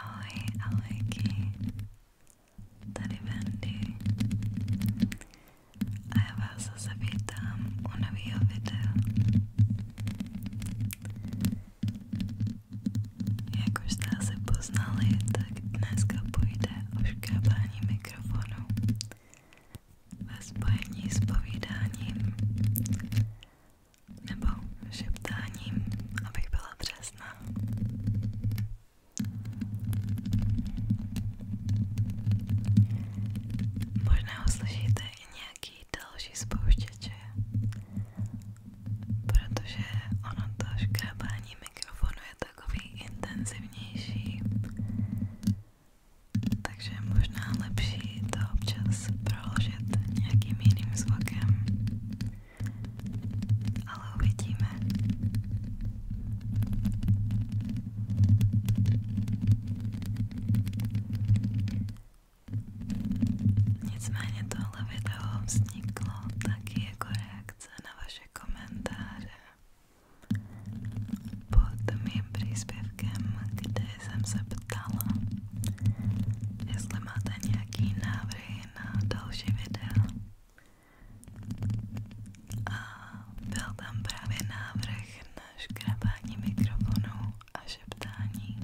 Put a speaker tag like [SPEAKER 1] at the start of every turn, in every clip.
[SPEAKER 1] Ahoj, ahojky, tady Wendy a já vás zase vítám u nového videa. Jak už jste asi poznali, tak dneska půjde o škrábání mikrofonu ve spojení s povídáním nebo šeptáním, abych byla přesná. Možná uslyšíte i nějaký další spouštěče, protože ono to škrábání mikrofonu takový intenzivnější, takže možná lepší taky to občas proložit nějakým jiným zvukem, ale uvidíme. Nicméně tohle video vzniklo taky jako reakce na vaše komentáře pod mým příspěvkem, kde jsem se ptala, jestli máte nějaký návrhy na další videa. A byl tam právě návrh na škrabání mikrofonu a šeptání.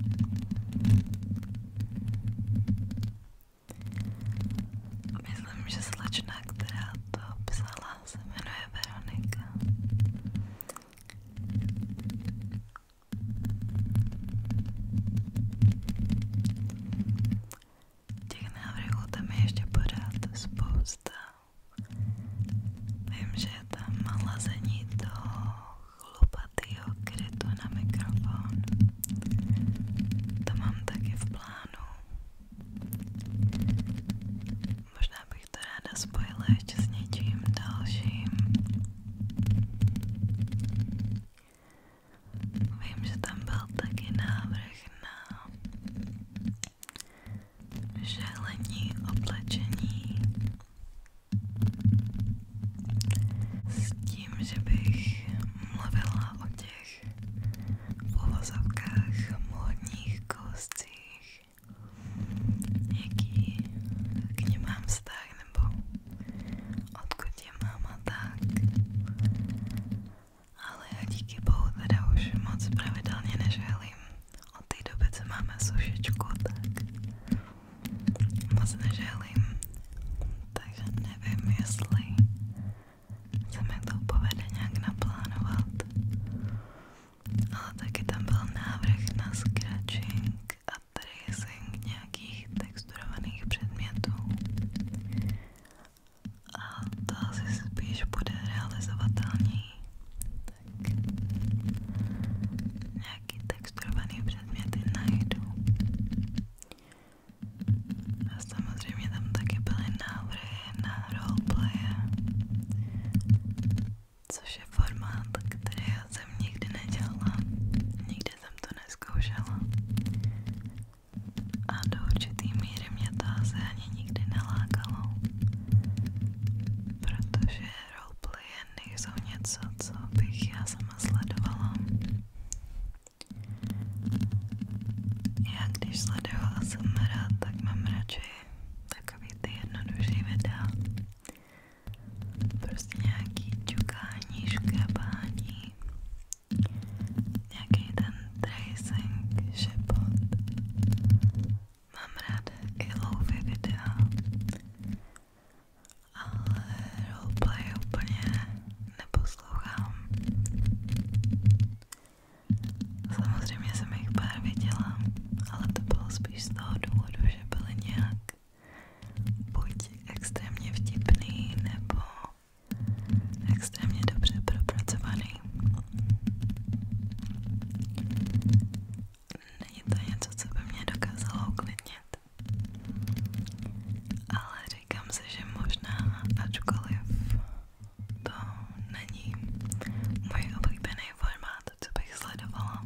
[SPEAKER 1] Myslím, že slečna, která to psala, se jmenuje Veronika. Těch návrhů tam je ještě pořád spousta. Vím, že je tam lazení toho chlupatýho krytu na mikrofon. To mám taky v plánu. Možná bych to ráda spojila ještě s něčím dalším. Vím, že tam byl taky návrh na želení s tím, že bych mluvila o těch uvozovkách módních kouscích, jaký k mám vztah nebo odkud je máma tak. Ale já díky bohu teda už moc pravidelně neželím. Od té doby, co máme sušičku, tak moc neželím. Takže nevím, jestli se mi to povede nějak naplánovat. Ale taky tam byl návrh na scratching a tracing nějakých texturovaných předmětů. A to asi spíš bude realizovatelný. Tak nějaký texturovaný předměty najdu. A samozřejmě tam taky byly návrhy na roleplaye, což je formát, který já jsem nikdy nedělala. Nikdy Určitě jsem to neskoušela. A do určitý míry mě to asi ani nikdy nelákalo. Protože roleplay nejsou něco, co bych já sama sledovala. Já když sleduju ASMR, tak mám radši takový ty jednodušší videa, prostě nějaký čukání, škrabání, nějaký ten tracing, šepot. Mám ráda i louvy videa, ale roleplay úplně neposlouchám. Samozřejmě jsem jich pár viděla, ale to bylo spíš z toho důvodu, že byly nějak buď extrémně vtipný nebo extrémně dobře propracovaný. Není to něco, co by mě dokázalo uklidnit. Ale říkám si, že možná, ačkoliv to není můj oblíbený formát, co bych sledovala,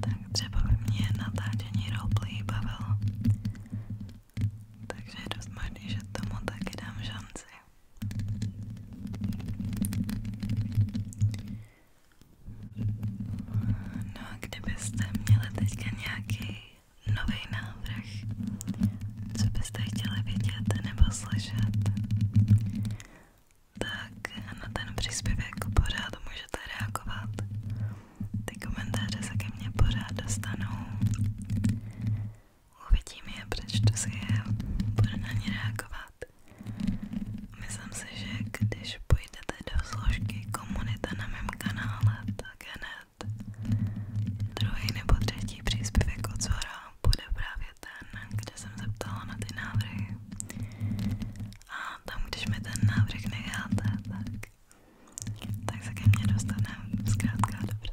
[SPEAKER 1] tak tak třeba by mě natáčení roleplay bavilo. Takže je dost možný, že tomu taky dám šanci. No a kdybyste měli teďka nějaký nový návrh, co byste chtěli vidět nebo slyšet, tak na ten příspěvek pořád můžete reagovat ty komentáře se ke mně pořád dostanou. Uvidím je, přečtu si je, budu na ně reagovat. Myslím si, že když půjdete do složky komunita na mém kanále, tak hned druhý nebo třetí příspěvek od Zora bude právě ten, kde jsem se ptala na ty návrhy. A tam, když mi ten návrh necháte, tak tak se ke mně dostane zkrátka dobře.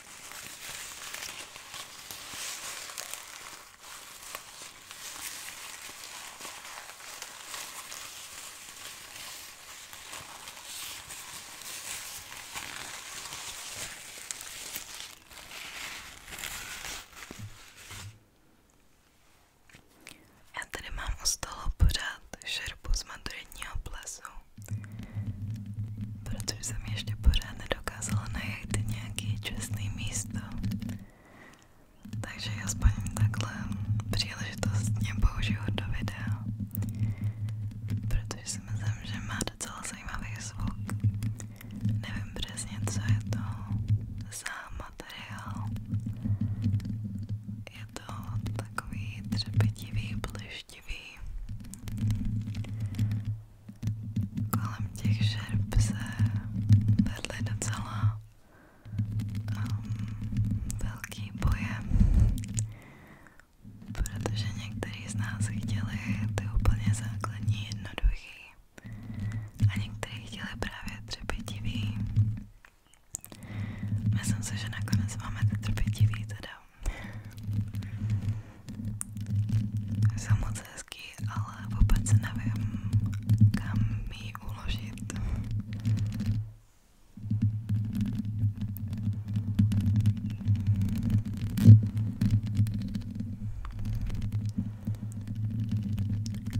[SPEAKER 1] Já tady mám u stolu pořád šerbu z maturitního plesu, protože jsem ještě pořád nedokončila dokázala najít nějaké čestné místo. Takže aspoň takhle příležitost mě použiju do videa, protože si myslím, že má docela zajímavý zvuk. Nevím přesně, co je to za materiál. Je to takový třepitivý, blištivý kolem těch šerp se vedly docela um, velký boje, protože někteří z nás chtěli ty úplně základní jednoduchý a někteří chtěli právě trpětivý. Myslím si, že nakonec máme ty trpětivý teda. Jsou moc hezký, ale vůbec nevím, kam ji uložit.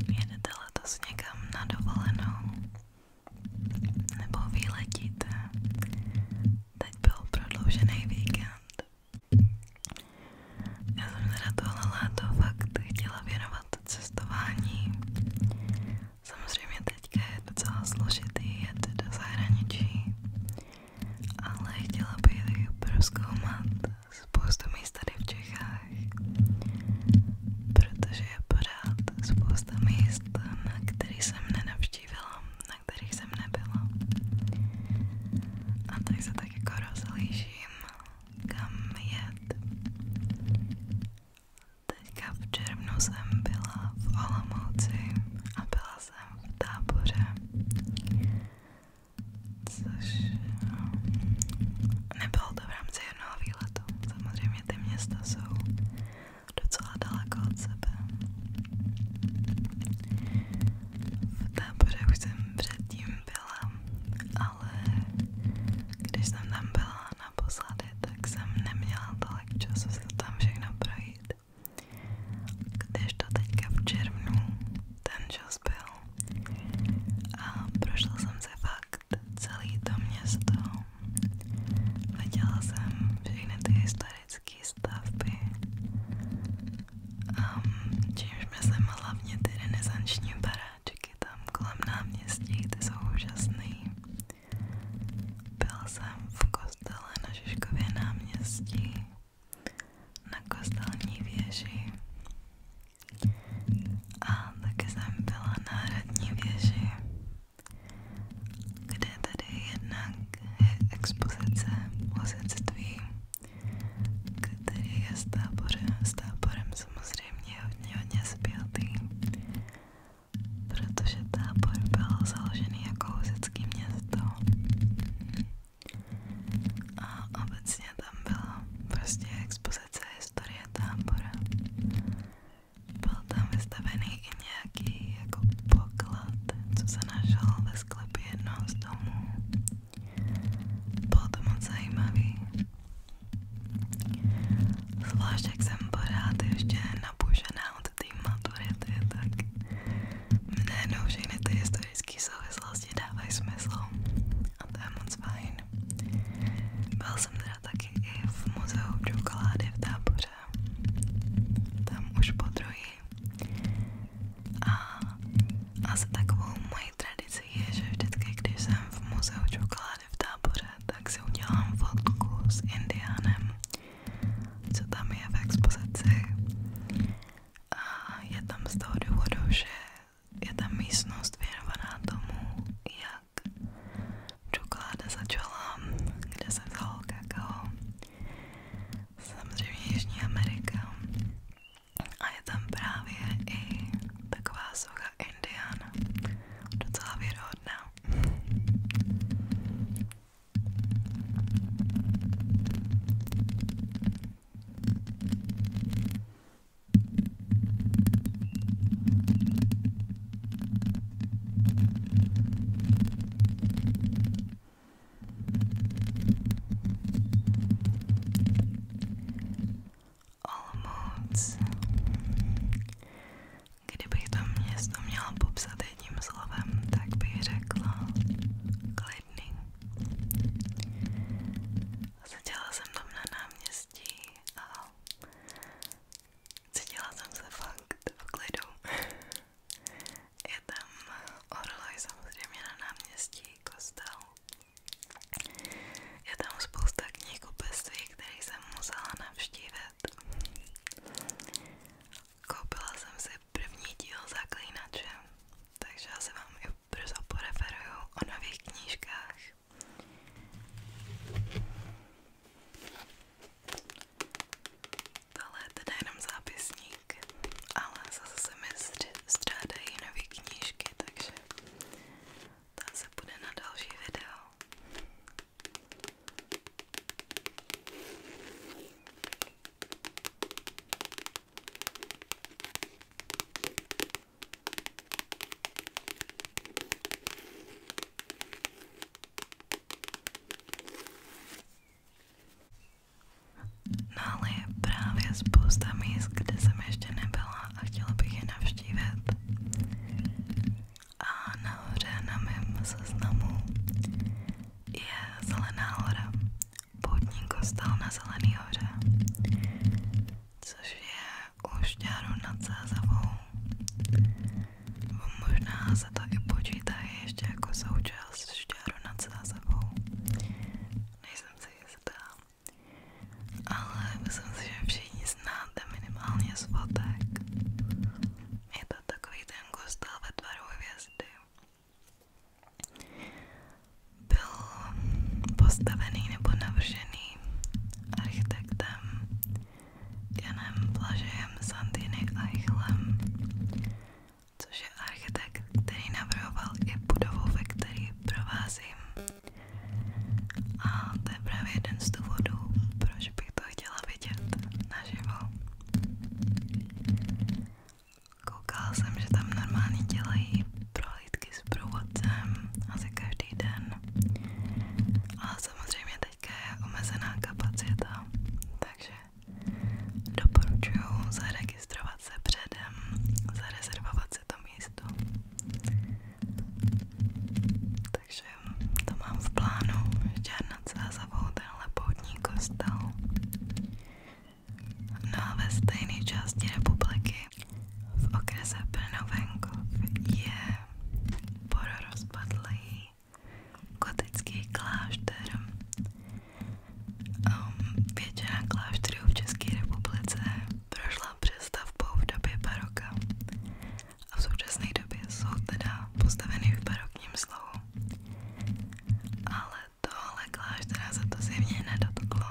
[SPEAKER 1] Jedete letos někam na dovolenou? Nebo vyletíte? Teď byl prodloužený víkend já jsem teda tohle léto fakt chtěla věnovat cestování. Samozřejmě teďka je docela složitý jet do zahraničí, ale chtěla bych prozkoumat spoustu míst tady v Čechách, protože je pořád spousta míst, na kterých jsem nenavštívila, na kterých jsem nebyla. A tak tak jako rozlížím, kam jet. Teďka v červnu jsem byla v Olomouci a byla jsem v táboře, což no, nebylo to v rámci jednoho výletu. Samozřejmě ty města jsou docela daleko od sebe. V táboře už jsem předtím byla, ale když jsem tam byla naposledy, tak jsem neměla tolik času se tam všechno projít. Když to teďka v červnu ten čas byl a prošla jsem se fakt celý to město. Viděla jsem všechny ty historické stavby Um, čímž myslím hlavně ty renesanční baráčky tam kolem náměstí, ty jsou úžasný. Byl jsem v kostele na Žižkově náměstí, na kostelní věži. A taky jsem byla na hradní věži, kde tady jednak je expozice husitství který je s táborem, s táborem samozřejmě hodně, hodně zpětý, protože tábor byl založený jako husický město a obecně tam byla prostě expozice historie tábora. Byl tam vystavený i nějaký jako poklad, co se našel ve sklepě jednoho z domů. Bylo to moc zajímavý. Zvlášť jak jsem pořád ještě napušená od té maturity, tak mne všechny ty historické souvislosti dávají smysl. A to je moc fajn. Byl jsem teda taky i v muzeu čokolády v táboře. Tam už po druhý a asi takovou mojí tradici je, že vždycky, když jsem v muzeu čokolády v táboře, tak si udělám fotku s Indiánem, co tam je v expozici. A je tam z toho důvodu, že je tam místnost věnovaná tomu, jak čokoláda začala, kde se vzalo kakao. Samozřejmě Jižní Amerika. A je tam právě i taková socha Indiana. Docela věrohodná. Olomouc. Kdybych to město měla popsat jedním slovem, tak bych řekla klidný. Seděla jsem tam na náměstí a cítila jsem se fakt v klidu. Je tam orloj samozřejmě na náměstí, kostel je tam spousta knih kupectví, které jsem musela navštívit. Koupila jsem si první díl Zaklínače, takže já se vám i brzo poreferuju o nových knížkách. Tohle je teda jenom zápisník, ale zase se mi střádají nové knížky, takže to se bude na další video. No ale je právě spousta míst, kde jsem ještě nebyla a chtěla bych je navštívit. A nahoře na mém seznamu je Zelená hora. Poutní kostel na Zelený hoře. Což je u šťáru nad Sázavou. Možná se to i počítá ještě jako součást šťáru nad Sázavou. Nejsem si jistá ale myslím si, že všichni znáte minimálně svotek. Je to takový ten kostel ve tvaru hvězdy. Byl postavený nebo navržený architektem Janem Blažejem Santiny Eichlem, což protože architekt, který navrhoval i budovu, ve které provázím, a to je právě jeden z důvodů, proč bych to chtěla vidět naživo. Koukala jsem, že tam normálně dělají prohlídky s průvodcem asi každý den. Ale samozřejmě teďka je omezená kapacita, takže doporučuju zaregistrovat se předem, zarezervovat se to místo. Takže to mám v plánu, ještě na Cázavou tenhle poutní kostel. No a ve stejné části republiky v okrese Brno-Venkov je pororozpadlý gotický klášter Um, většina klášterů v České republice prošla přestavbou v době baroka a v současné době jsou teda postaveny v barokním slohu. Ale tohle kláštera se to zjevně nedotklo,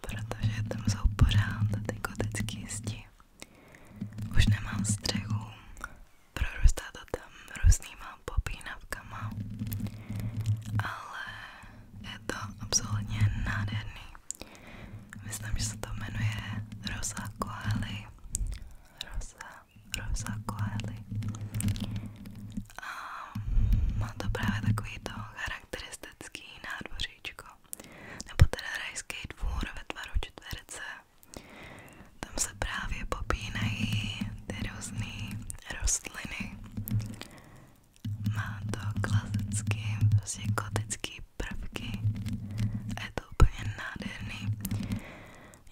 [SPEAKER 1] protože tam jsou pořád ty gotické zdi. Už nemám střechu, prorůstá to tam různýma popínavkama, ale je to absolutně nádherný. Myslím, že se to jmenuje Rosa Coeli. Rosa, Rosa Coeli. A má to právě takový to charakteristický nádvoříčko. Nebo teda rajský dvůr ve tvaru čtverce. Tam se právě popínají ty různé rostliny. Má to klasický, prostě gotický prvky a je to úplně nádherný.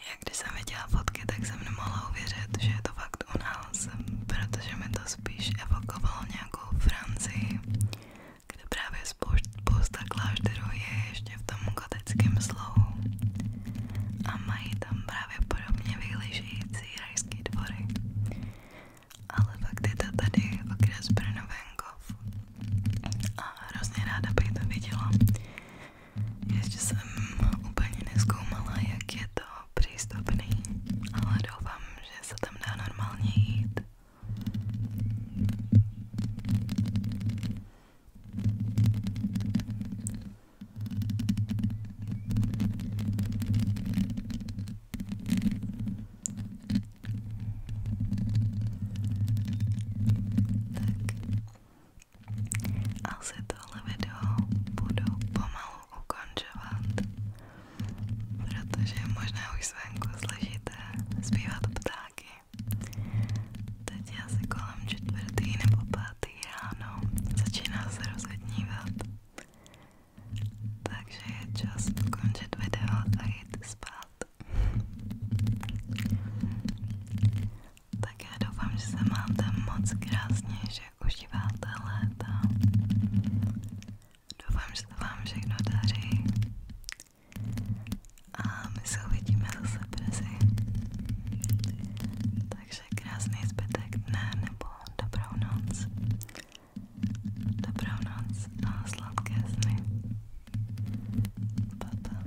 [SPEAKER 1] Já když jsem viděla fotky, tak jsem nemohla uvěřit, že je to fakt u nás, protože mi to spíš evokovalo nějakou Francii, kde právě spousta klášterů je ještě v tom gotickém slohu a mají tam právě podobně vyhlížející rajské dvory ale fakt je to tady okres Brno venkov a hrozně ráda bych to viděla. Ještě jsem úplně nezkoumala, jak je to přístupný, ale doufám, že se tam dá normálně jít. Tak. Asi tohle video budu pomalu ukončovat, protože možná už zvenku slyšíte zpívat ptáky. Teď je asi kolem čtvrtý nebo pátý ráno, začíná se rozhodnívat. Takže je čas ukončit video a jít spát. Tak já doufám, že se máte moc krásně, že užíváte léta. Doufám, že to vám všechno daří. A my se uvidíme zase brzy. Takže krásný zbytek dne nebo dobrou noc. Dobrou noc a sladké sny. Pa, pa.